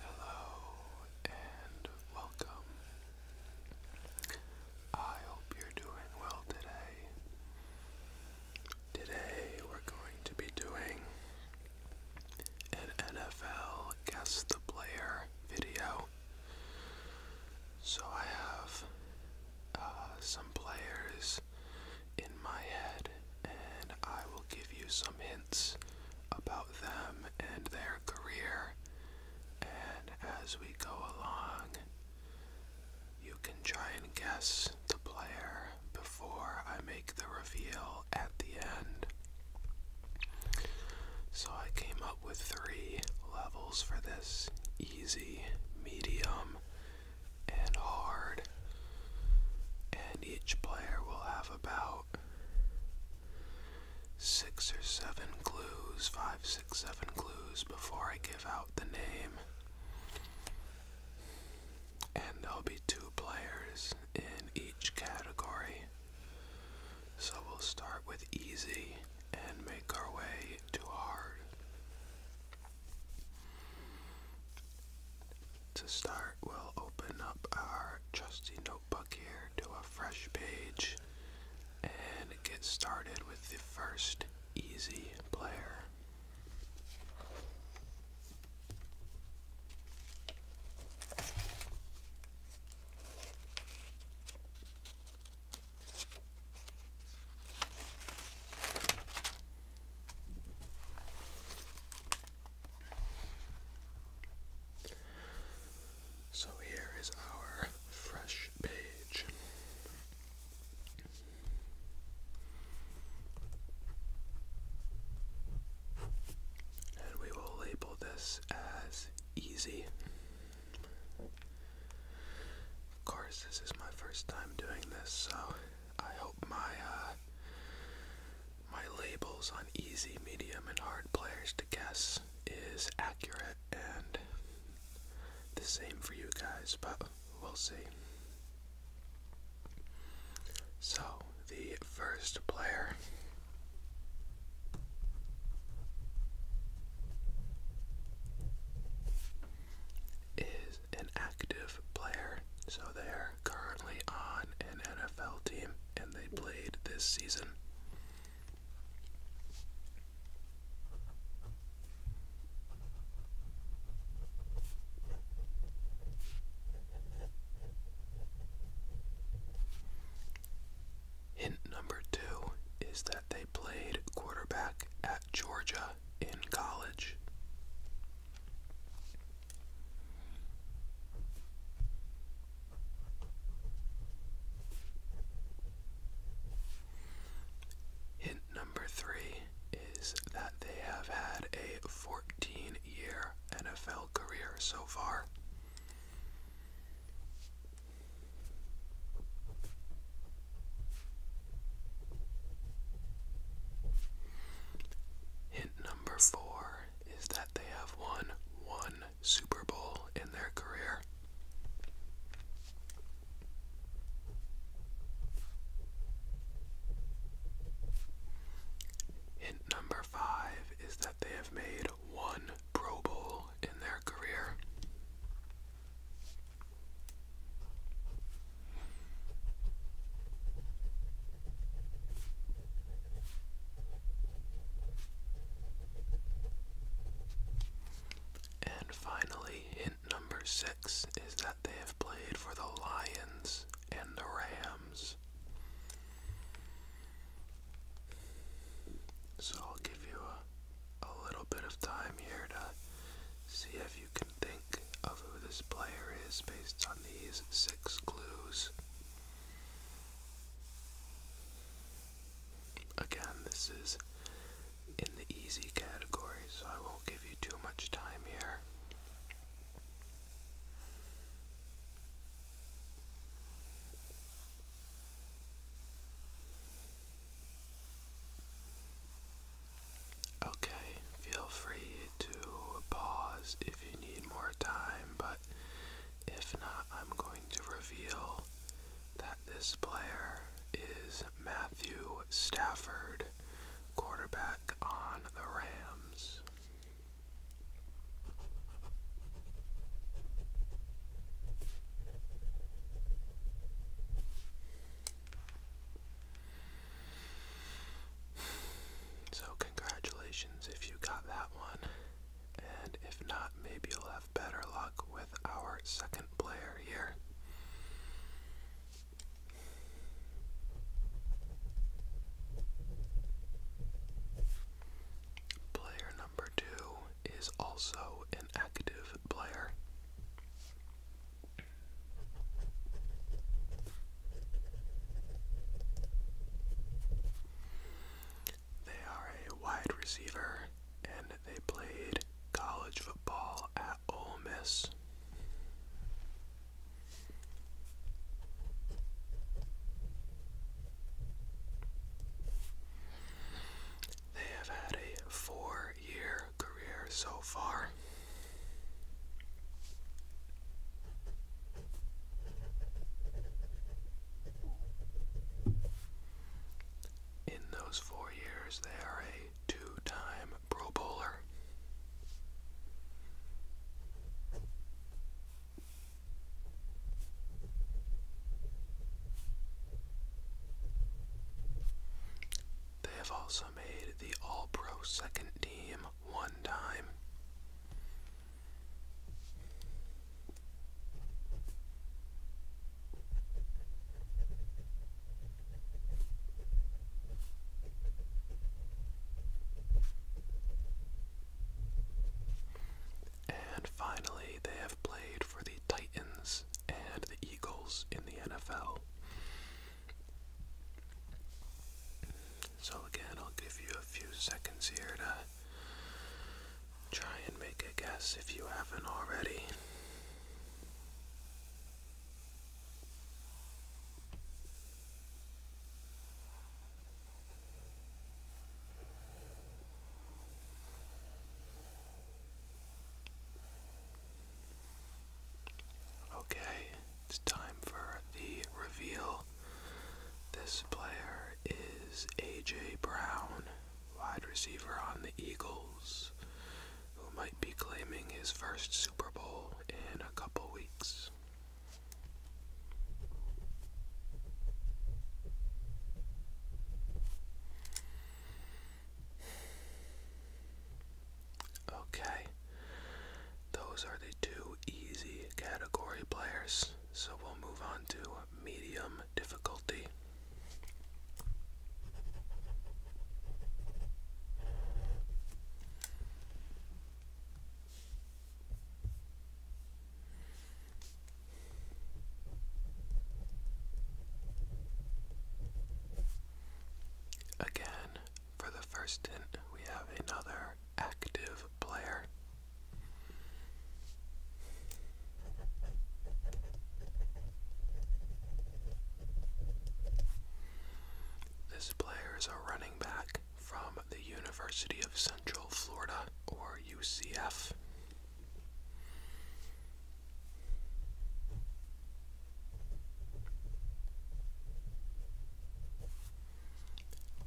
Hello and welcome. I hope you're doing well today. Today we're going to be doing an NFL Guess the Player video. So I have uh, some players in my head and I will give you some hints about them and their career. And as we go along, you can try and guess the player before I make the reveal at the end. So I came up with three levels for this easy, medium, and hard. And each player will have about six or seven clues, five, six, seven clues before I give out the name. And there'll be two players in each category. So we'll start with easy and make our way to hard. To start, we'll open up our trusty notebook here to a fresh page and get started with the first easy player. So here is our fresh page. And we will label this as easy. Of course, this is my first time doing this, so I hope my uh, my labels on easy, medium, and hard players to guess is accurate and the same for you guys, but we'll see. So, the first player is an active player, so there currently on an NFL team and they played this season. Hint number two is that they played quarterback at Georgia in college. Hint number three is that they have had a 14 year NFL career so far. Hint number four is that they have won one Super Bowl in their career. Hint number five is that they have made one Pro Bowl in their career. And finally, hint number six is that they have played for the Lions and the Rams. So I'll give you a, a little bit of time here to see if you can think of who this player is based on these six clues. Again, this is in the easy category, so I won't give you too much time here. Okay, feel free to pause if you need more time, but if not, I'm going to reveal that this player is Matthew Stafford, quarterback on the Rams. So, congratulations if you got that one. And if not, maybe you'll have better luck with our second player here. Player number two is also an active player. They are a wide receiver and they played college football at Ole Miss. They have had a four year career so far. In those four years, they are a two time Pro Bowler. They have also also made the All Pro second team one time. And finally, they have played for the Titans and the Eagles in the NFL. So again, I'll give you a few seconds here to try and make a guess if you haven't already. Okay, it's time for the reveal. This player is A.J. Brown, wide receiver on the Eagles, who might be claiming his first Super Bowl in a couple weeks. Okay. Those are the two easy category players. So we'll move on to medium difficulty. Again, for the first hint, we have another active player. This player is a running back from the University of Central Florida, or UCF.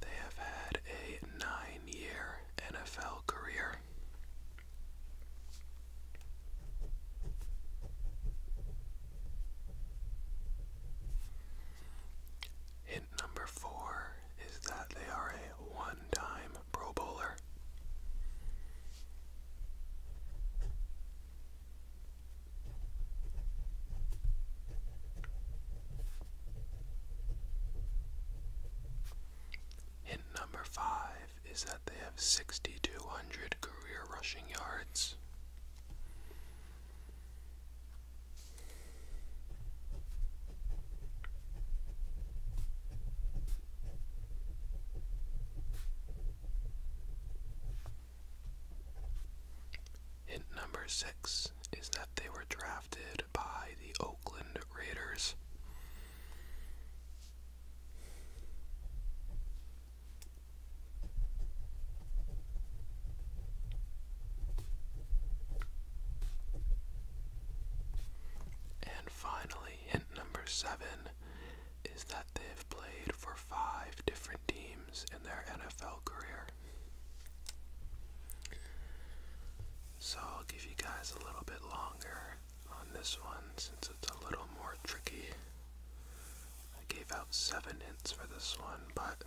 They have had a nine year NFL career. Hint number four is that they are a one time Pro Bowler. Hint number five is that they have 6,200 career rushing yards. Hint number six is that they were drafted by the Oakland Raiders. And finally, hint number seven is that they've played for five different teams in their NFL career. So I'll give you guys a little bit longer on this one since it's a little more tricky. I gave out seven hints for this one, but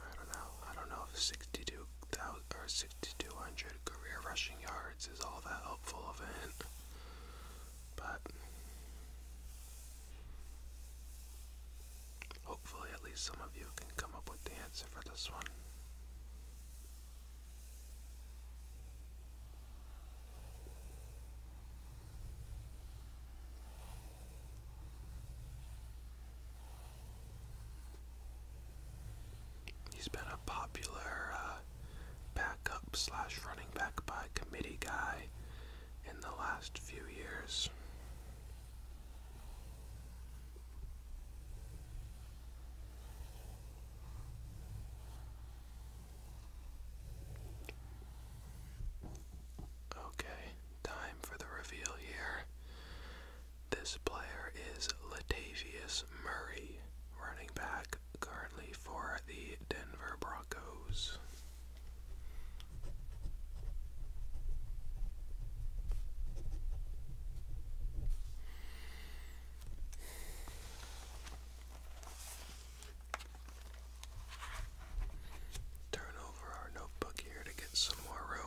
I don't know. I don't know if 62,000 or 60 200 career rushing yards is all that helpful of a But hopefully, at least some of you can come up with the answer for this one. He's been a popular uh, backup slash running back by committee guy in the last few years. Okay, time for the reveal here. This player is Latavius Murray, running back currently for the Denver Broncos. Turn over our notebook here to get some more room.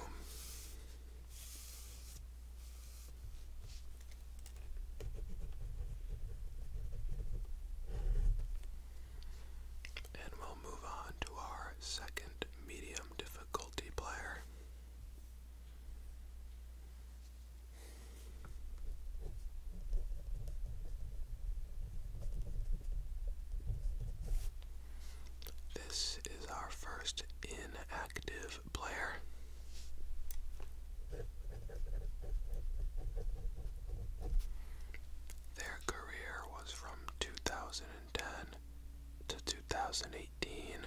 And we'll move on to our second medium difficulty player. This is our first inactive active Their career was from 2010 to 2018.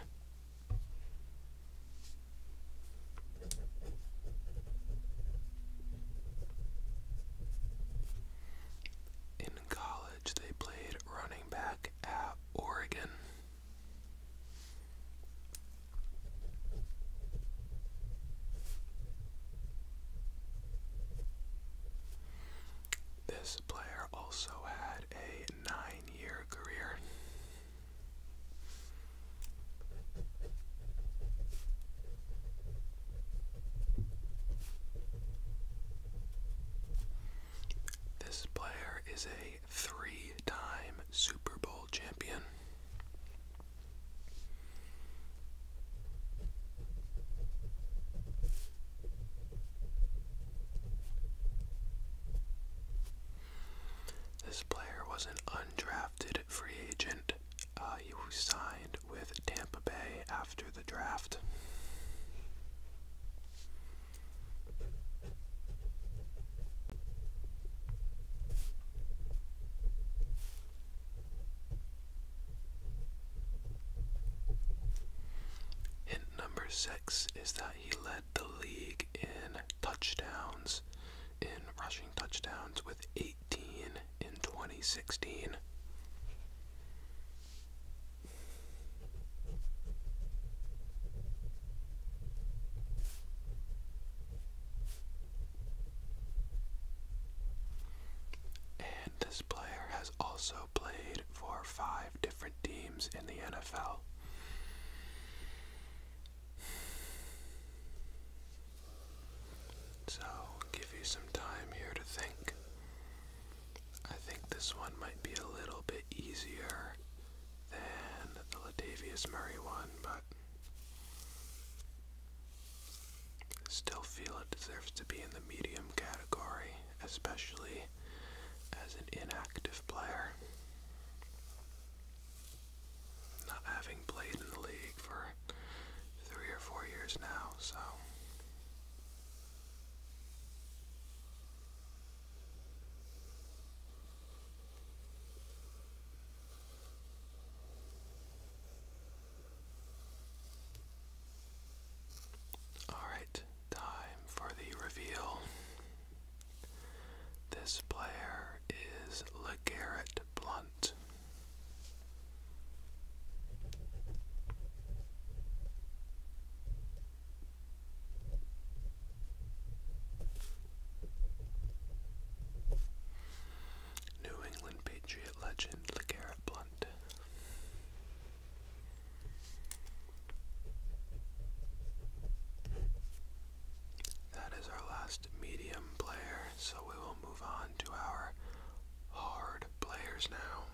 In college, they played running back at Oregon. This player also had a nine year career. This player is a three time Super Bowl champion. This player was an undrafted free agent. Uh, signed with Tampa Bay after the draft. Hint number six is that he led the league in touchdowns, in rushing touchdowns, with 18 in 2016. And this player has also played for five different teams in the NFL. So, give you some time here to think. I think this one might be a little bit easier than the Latavius Murray one, but still feel it deserves to be in the medium category, especially as an inactive player. Not having played in the league for three or four years now, so. Alright, time for the reveal. This player is LeGarrette Blunt. New England Patriot legend LeGarrette Blunt. That is our last medium player, so we will move on to our hard players now.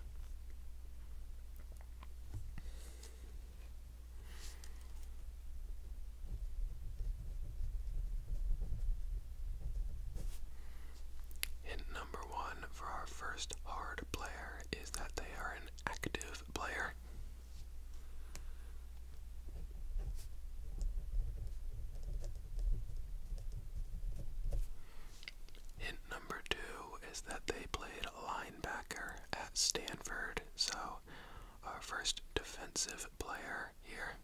Hint number one for our first hard player is that they are an active player. Hint number two is that they played line linebacker at Stanford, so our uh, first defensive player here.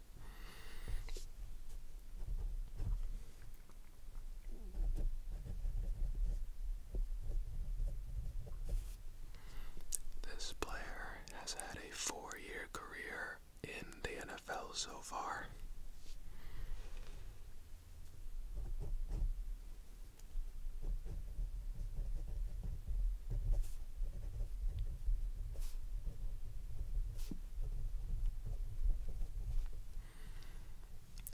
This player has had a four year career in the NFL so far.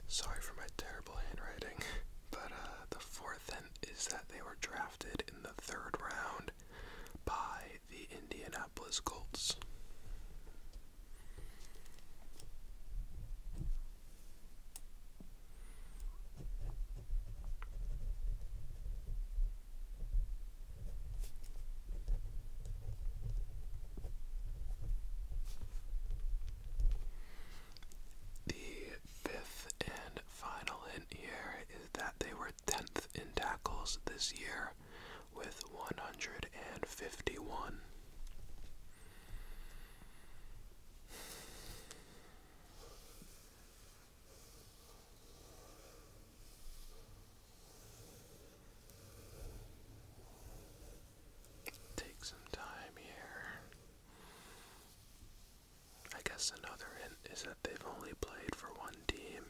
Sorry for my terrible handwriting, but uh, the fourth hint is that they were drafted in the third round by the Indianapolis Colts. The fifth and final hint here is that they were 10th in tackles this year with 151. Take some time here. I guess another hint is that they've only played for one team.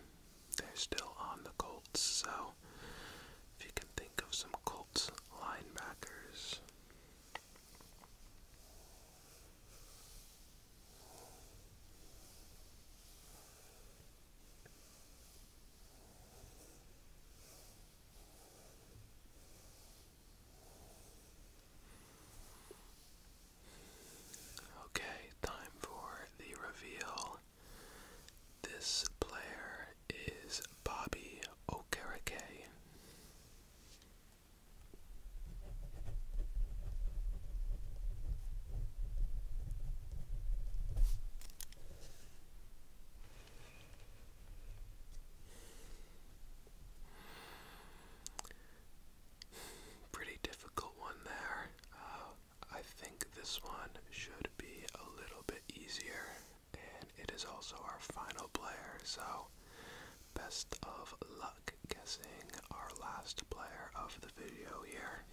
They're still on the Colts, so if you can think of some Colts linebackers. Okay, time for the reveal. This player is Bobby Okereke. Pretty difficult one there. Uh, I think this one should be a little bit easier. And it is also our final player, so best of luck guessing our last player of the video here.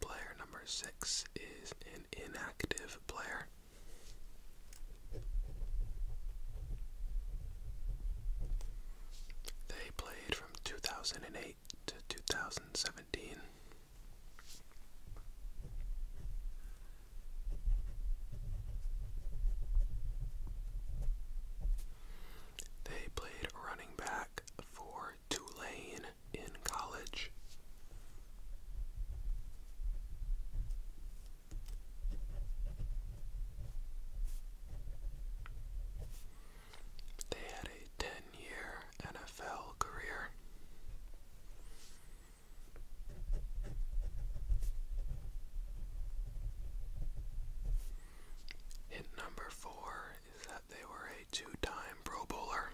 Player number six is an inactive player. They played from 2008 to 2017. They played running back for Tulane in college. They had a 10 year NFL career. Hit number four is that they were a two time Pro Bowler.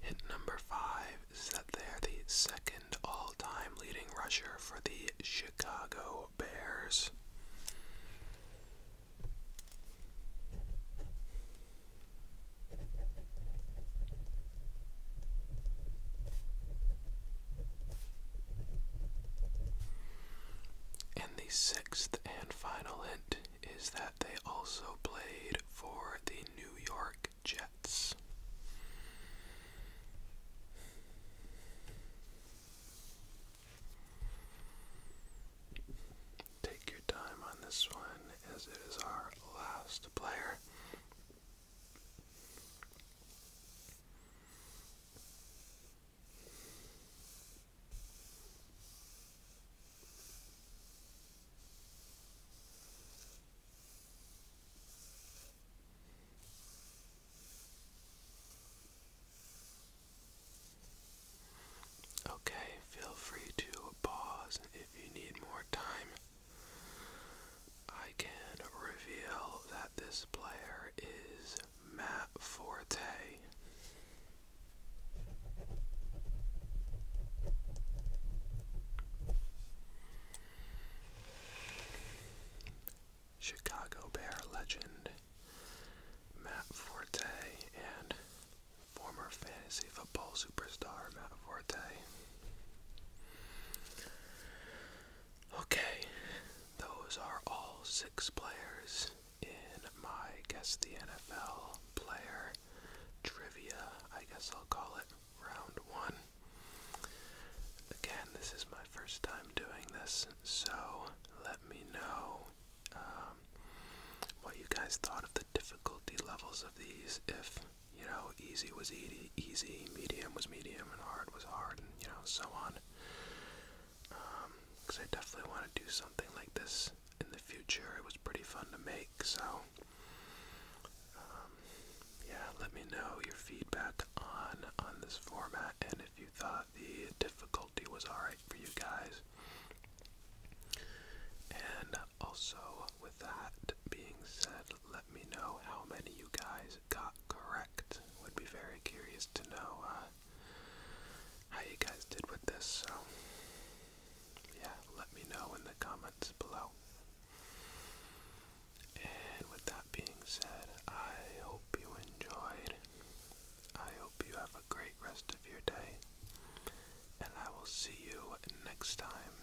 Hit number five is that they are the second all time leading rusher for the Chicago Bears. And the sixth and final hint is that they also played for the New York Jets. Take your time on this one as it is our last player Okay, feel free to pause if you need more time I can reveal that this player is Matt Forte. Chicago Bear legend Matt Forte and former fantasy football superstar Matt Forte Okay, those are all six players in my Guess the NFL Player Trivia, I guess I'll call it round one. Again, this is my first time doing this, so let me know um, what you guys thought of the difficulty levels of these, if you know, easy was easy, easy, medium was medium, and hard was hard, and you know, so on. Because um, I definitely want to do something like this in the future. It was pretty fun to make, so um, yeah. Let me know your feedback on on this format, and if you thought the difficulty was all right for you guys. And also, with that being said, let me know how many you guys got correct. Would be very curious to know uh, how you guys did with this. So, yeah, let me know in the comments below. And with that being said, I hope you enjoyed. I hope you have a great rest of your day. And I will see you next time.